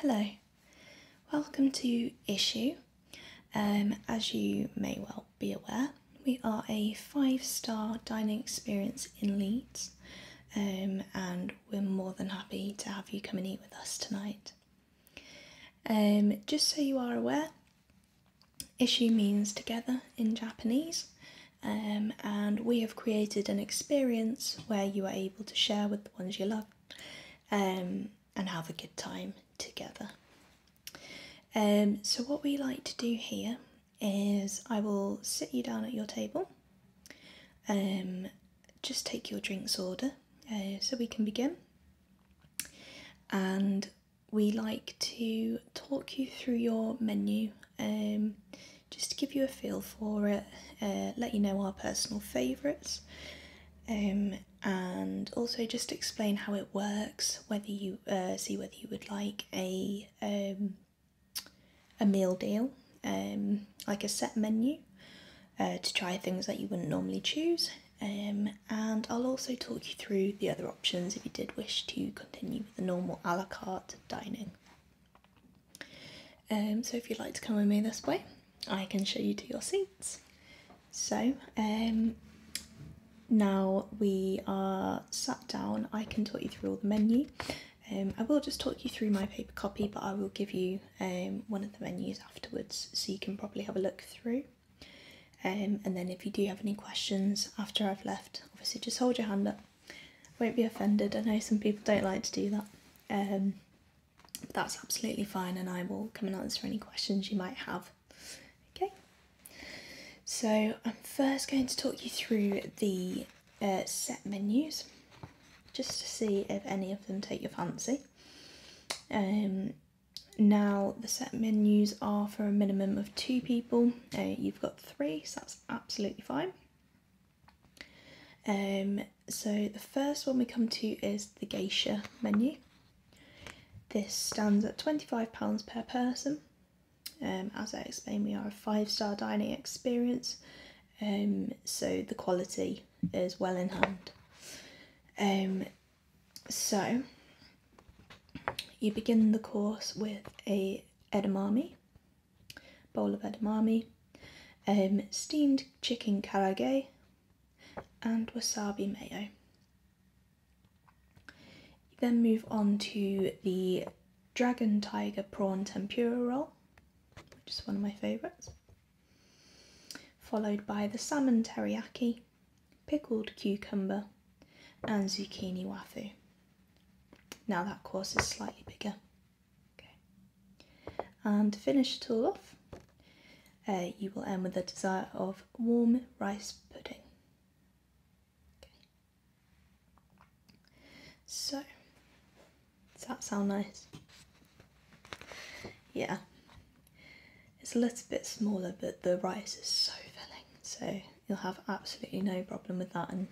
Hello, welcome to Issue. Um, as you may well be aware, we are a five star dining experience in Leeds, um, and we're more than happy to have you come and eat with us tonight. Um, just so you are aware, Issue means together in Japanese, and we have created an experience where you are able to share with the ones you love um, and have a good time together. Um, so, what we like to do here is I will sit you down at your table, um, just take your drinks order uh, so we can begin. And we like to talk you through your menu um, just to give you a feel for it, uh, let you know our personal favourites, um, and also just explain how it works. Whether you uh, see whether you would like a um, a meal deal, um, like a set menu, uh, to try things that you wouldn't normally choose. Um, and I'll also talk you through the other options if you did wish to continue with the normal a la carte dining. Um, so if you'd like to come with me this way, I can show you to your seats. So um, now we are sat down, I can talk you through all the menu. Um, I will just talk you through my paper copy, but I will give you um, one of the menus afterwards so you can probably have a look through. Um, and then if you do have any questions after I've left, obviously just hold your hand up won't be offended. I know some people don't like to do that. Um, that's absolutely fine, and I will come and answer any questions you might have. Okay, so I'm first going to talk you through the uh, set menus just to see if any of them take your fancy. Um, now, the set menus are for a minimum of two people, uh, you've got three, so that's absolutely fine. Um, so the first one we come to is the geisha menu. This stands at £25 per person. Um, as I explained, we are a five-star dining experience, um, so the quality is well in hand. so you begin the course with a edamame, bowl of edamame, um, steamed chicken karage, and wasabi mayo. then move on to the dragon tiger prawn tempura roll, which is one of my favourites, followed by the salmon teriyaki, pickled cucumber, and zucchini wafu. Now that course is slightly bigger. Okay. And to finish it all off, uh, you will end with a desire of warm rice pudding. Okay. So, does that sound nice? Yeah. It's a little bit smaller, but the rice is so filling, so you'll have absolutely no problem with that and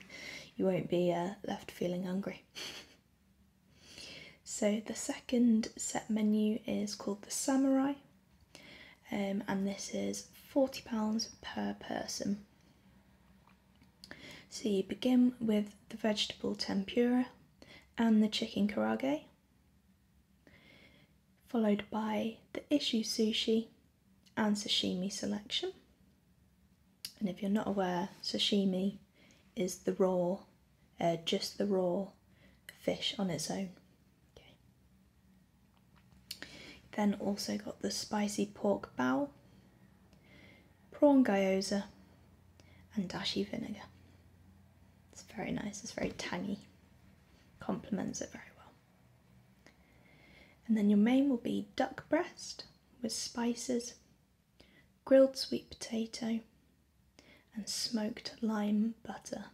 you won't be uh, left feeling hungry. so, the second set menu is called the Samurai, um, and this is £40 per person. So, you begin with the vegetable tempura and the chicken karage, followed by the issue sushi and sashimi selection. And if you're not aware, sashimi is the raw, uh, just the raw fish on its own. Okay. Then also got the spicy pork bowl, prawn gyozza, and dashi vinegar. It's very nice, it's very tangy, complements it very well. And then your main will be duck breast with spices, grilled sweet potato, and smoked lime butter.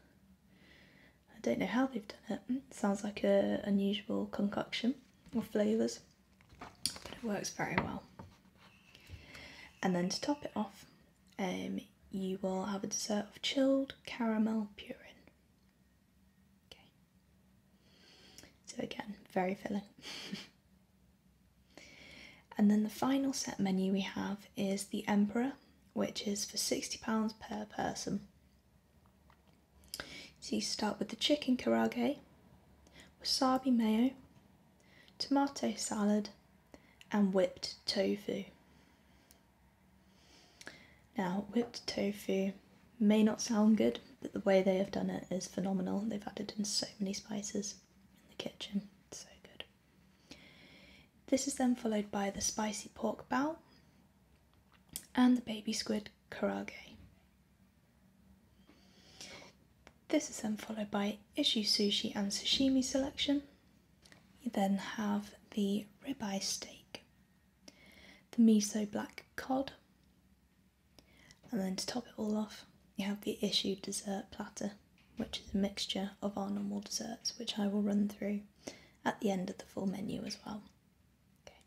I don't know how they've done it. Hmm, sounds like a unusual concoction or flavours, but it works very well. And then to top it off, um, you will have a dessert of chilled caramel purin. Okay. So again, very filling. and then the final set menu we have is the Emperor, which is for £60 per person. So you start with the chicken karage, wasabi mayo, tomato salad, and whipped tofu. Now, whipped tofu may not sound good, but the way they have done it is phenomenal. They've added in so many spices in the kitchen, it's so good. This is then followed by the spicy pork bao and the baby squid karage. This is then followed by issue sushi and sashimi selection. You then have the ribeye steak the miso black cod, and then to top it all off, you have the issued dessert platter, which is a mixture of our normal desserts, which I will run through at the end of the full menu as well. Okay.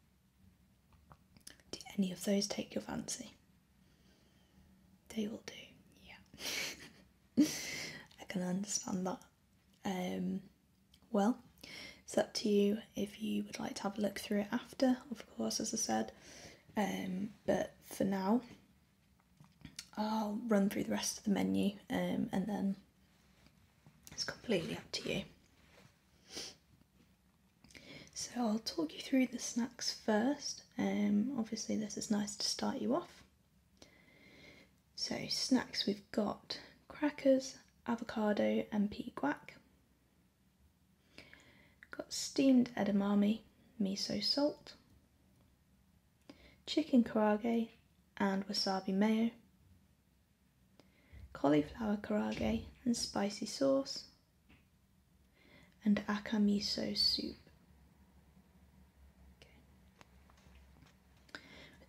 Do any of those take your fancy? They will do, yeah. I can understand that um, well. It's up to you if you would like to have a look through it after, of course, as I said. Um, but for now, I'll run through the rest of the menu um, and then it's completely up to you. So I'll talk you through the snacks first. Um, obviously, this is nice to start you off. So snacks we've got crackers, avocado and pea guac. Got steamed edamame, miso salt, chicken karage and wasabi mayo, cauliflower karage and spicy sauce, and aka miso soup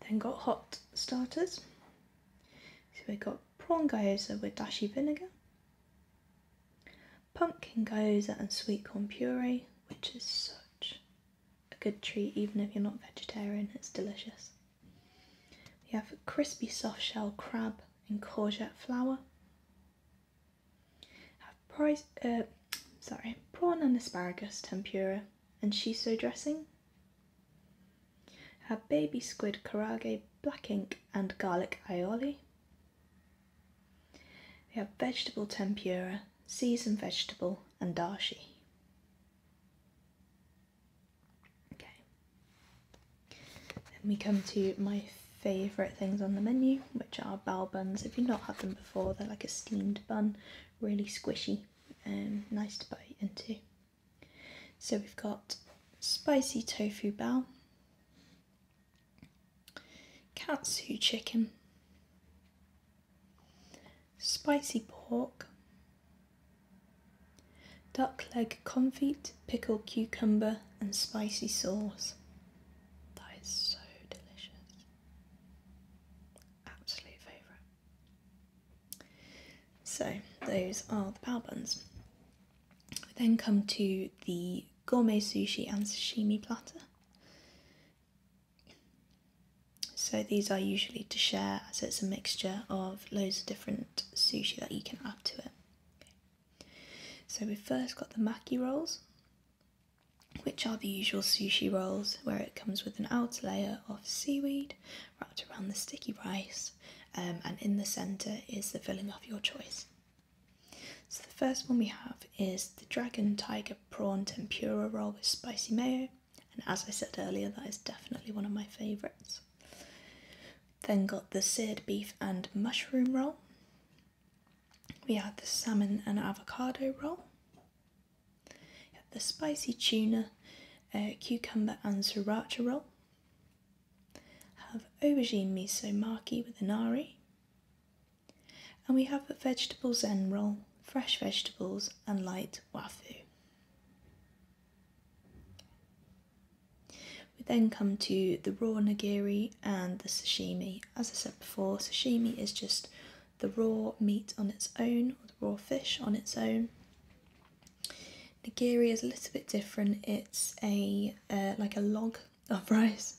then got hot starters. So we got prawn gyoza with dashi vinegar, pumpkin gyoza and sweet corn puree, which is such a good treat even if you're not vegetarian, it's delicious. We have crispy soft shell crab and courgette flour. Have price, uh, sorry, prawn and asparagus tempura and she so dressing? Had baby squid karage, black ink, and garlic aioli. We have vegetable tempura, seasoned vegetable, and dashi. Okay. Then we come to my favourite things on the menu, which are bao buns. If you've not had them before, they're like a steamed bun, really squishy and um, nice to bite into. So we've got spicy tofu bao, katsu chicken, spicy pork, duck leg confit, pickled cucumber and spicy sauce. That is so delicious absolute favourite. So those are the power buns. then come to the gourmet sushi and sashimi platter. So these are usually to share as it's a mixture of loads of different sushi that you can add to it. So we've first got the maki rolls which are the usual sushi rolls where it comes with an outer layer of seaweed wrapped around the sticky rice, um, and in the centre is the filling of your choice. So, the first one we have is the Dragon Tiger Prawn Tempura Roll with spicy mayo, and as I said earlier, that is definitely one of my favourites. Then got the seared beef and mushroom roll. We had the salmon and avocado roll. Have the spicy tuna, uh, cucumber and sriracha roll. Have aubergine miso maki with anari. And we have a vegetable zen roll, fresh vegetables and light wafu. We then come to the raw nigiri and the sashimi. As I said before, sashimi is just the raw meat on its own, the raw fish on its own. Nigiri is a little bit different. It's a uh, like a log of rice,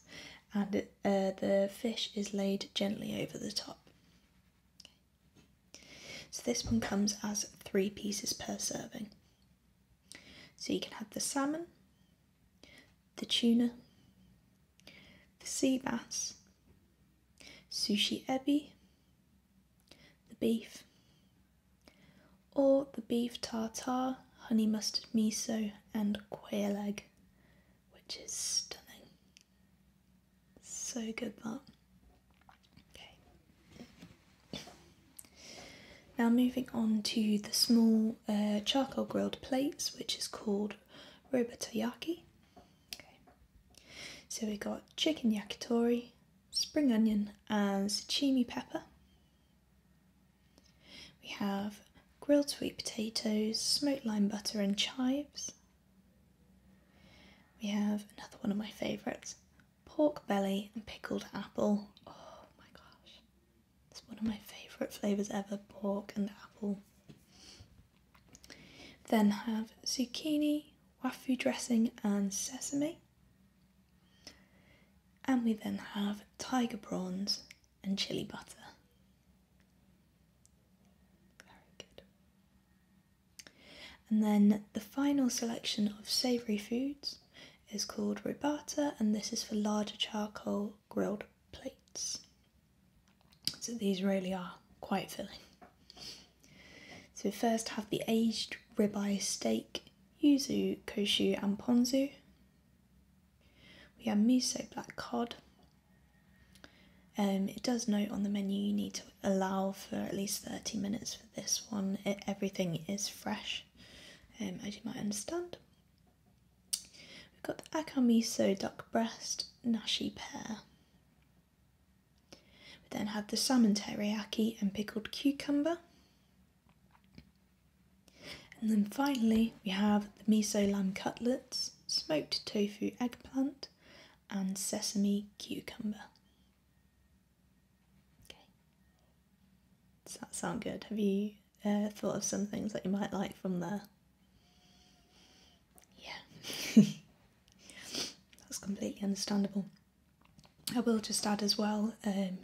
and uh, the fish is laid gently over the top. So this one comes as three pieces per serving. So you can have the salmon, the tuna, the sea bass, sushi ebi, the beef, or the beef tartare, honey mustard miso, and quail egg, which is stunning. So good that. Okay. Now moving on to the small uh, charcoal grilled plates, which is called called robotoyaki. Okay. So we got chicken yakitori, spring onion and chimi pepper. We have grilled sweet potatoes, smoked lime butter and chives. We have another one of my favourites, pork belly and pickled apple. Oh my gosh. It's one of my favourite flavours ever pork and apple. Then have zucchini, wafu dressing, and sesame. And we then have tiger prawns and chili butter. Very good. And then the final selection of savoury foods is called ribata, and this is for larger charcoal grilled plates. So these really are quite filling. So first have the aged ribeye steak, yuzu, koshu and ponzu. We have miso black cod. Um, it does note on the menu you need to allow for at least 30 minutes for this one. everything is fresh, um, as you might understand. We've got the Akamiso duck breast nashi pear. We then have the salmon teriyaki and pickled cucumber. And then finally, we have the miso lamb cutlets, smoked tofu eggplant, and sesame cucumber. Does that sound good? Have you uh, thought of some things that you might like from there. Yeah, that's completely understandable. I will just add as well um,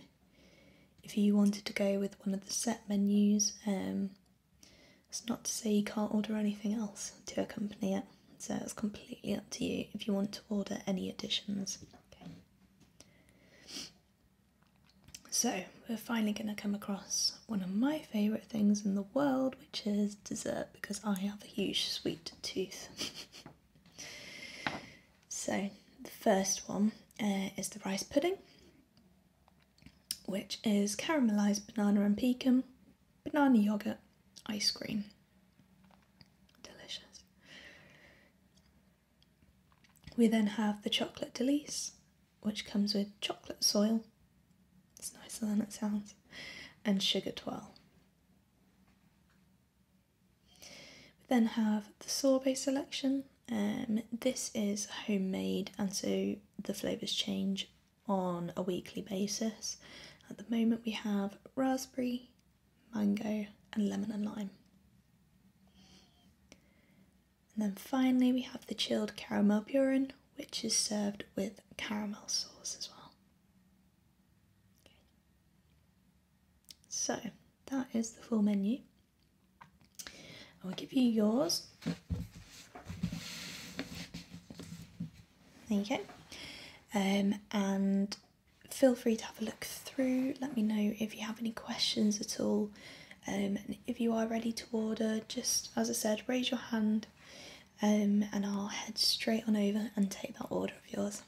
if you wanted to go with one of the set menus, um, it's not to say you can't order anything else to accompany it, so it's completely up to you if you want to order any additions. So, we're finally going to come across one of my favourite things in the world, which is dessert, because I have a huge sweet tooth. so, the first one uh, is the rice pudding, which is caramelised banana and pecan, banana yoghurt, ice cream. Delicious. We then have the chocolate delice, which comes with chocolate soil, it's nicer than it sounds, and sugar twirl. We then have the sorbet selection. Um, this is homemade, and so the flavours change on a weekly basis. At the moment, we have raspberry, mango, and lemon and lime. And then finally, we have the chilled caramel burin, which is served with caramel sauce as well. So, that is the full menu. I will give you yours. There you go. Um, and feel free to have a look through. Let me know if you have any questions at all. Um, and if you are ready to order, just as I said, raise your hand um, and I'll head straight on over and take that order of yours.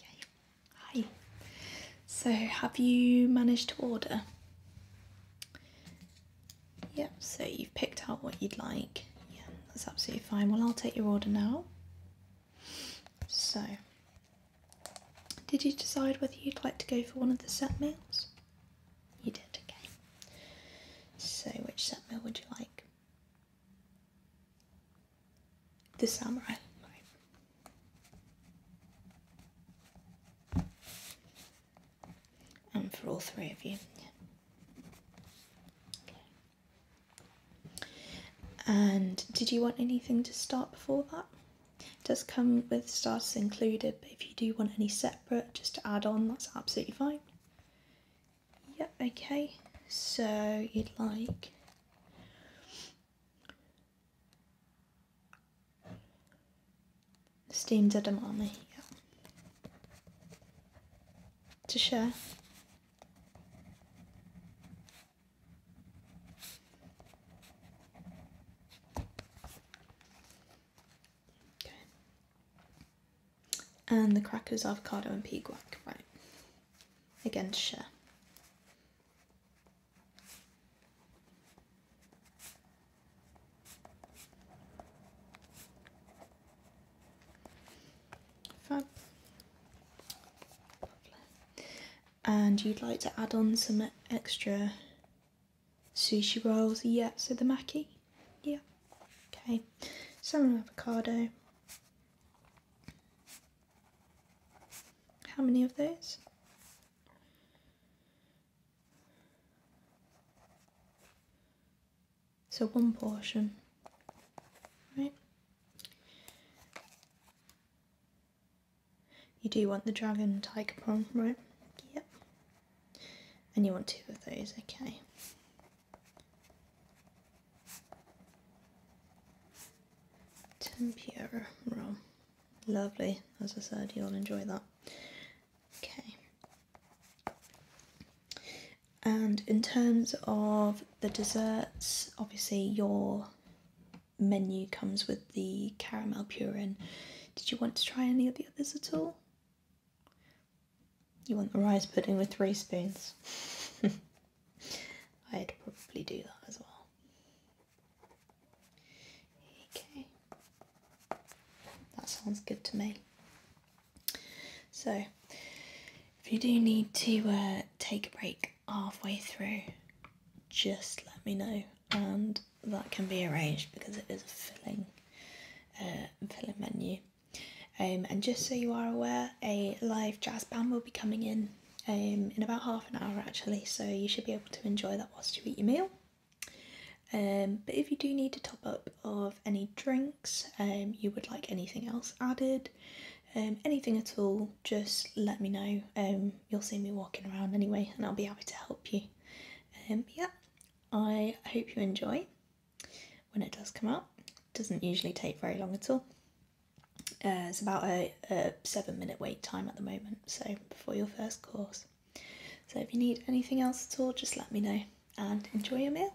Okay, hi. So, have you managed to order? Yep, so you've picked out what you'd like. Yeah, that's absolutely fine. Well, I'll take your order now. So, did you decide whether you'd like to go for one of the set meals? You did, okay. So, which set meal would you like? The samurai. And for all three of you. And did you want anything to start before that? does come with starters included, but if you do want any separate just to add on, that's absolutely fine. Yep, okay. So you'd like steamed edamame, yeah. To share. And the crackers, avocado, and pea guac, right? Again, to share and you'd like to add on some extra sushi rolls, yeah, so the maki, yeah, okay, salmon avocado, how many of those? So one portion, right? You do want the dragon tiger prong, right? Yep. And you want two of those, okay. Tempura Lovely, as I said, you'll enjoy that. Okay. And in terms of the desserts, obviously your menu comes with the caramel purin. Did you want to try any of the others at all? You want the rice pudding with three spoons? I'd probably do that as well. Okay, that sounds good to me. So, if you do need to uh, take a break, halfway through, just let me know, and that can be arranged because it is a filling, uh, filling menu. Um, and just so you are aware, a live jazz band will be coming in um, in about half an hour actually, so you should be able to enjoy that whilst you eat your meal. Um, but if you do need to top up of any drinks, um, you would like anything else added, um, anything at all, just let me know. Um, you'll see me walking around anyway, and I'll be happy to help you. Um, yeah, I hope you enjoy when it does come out. doesn't usually take very long at all. Uh, it's about a, a seven minute wait time at the moment, so before your first course. So if you need anything else at all, just let me know and enjoy your meal.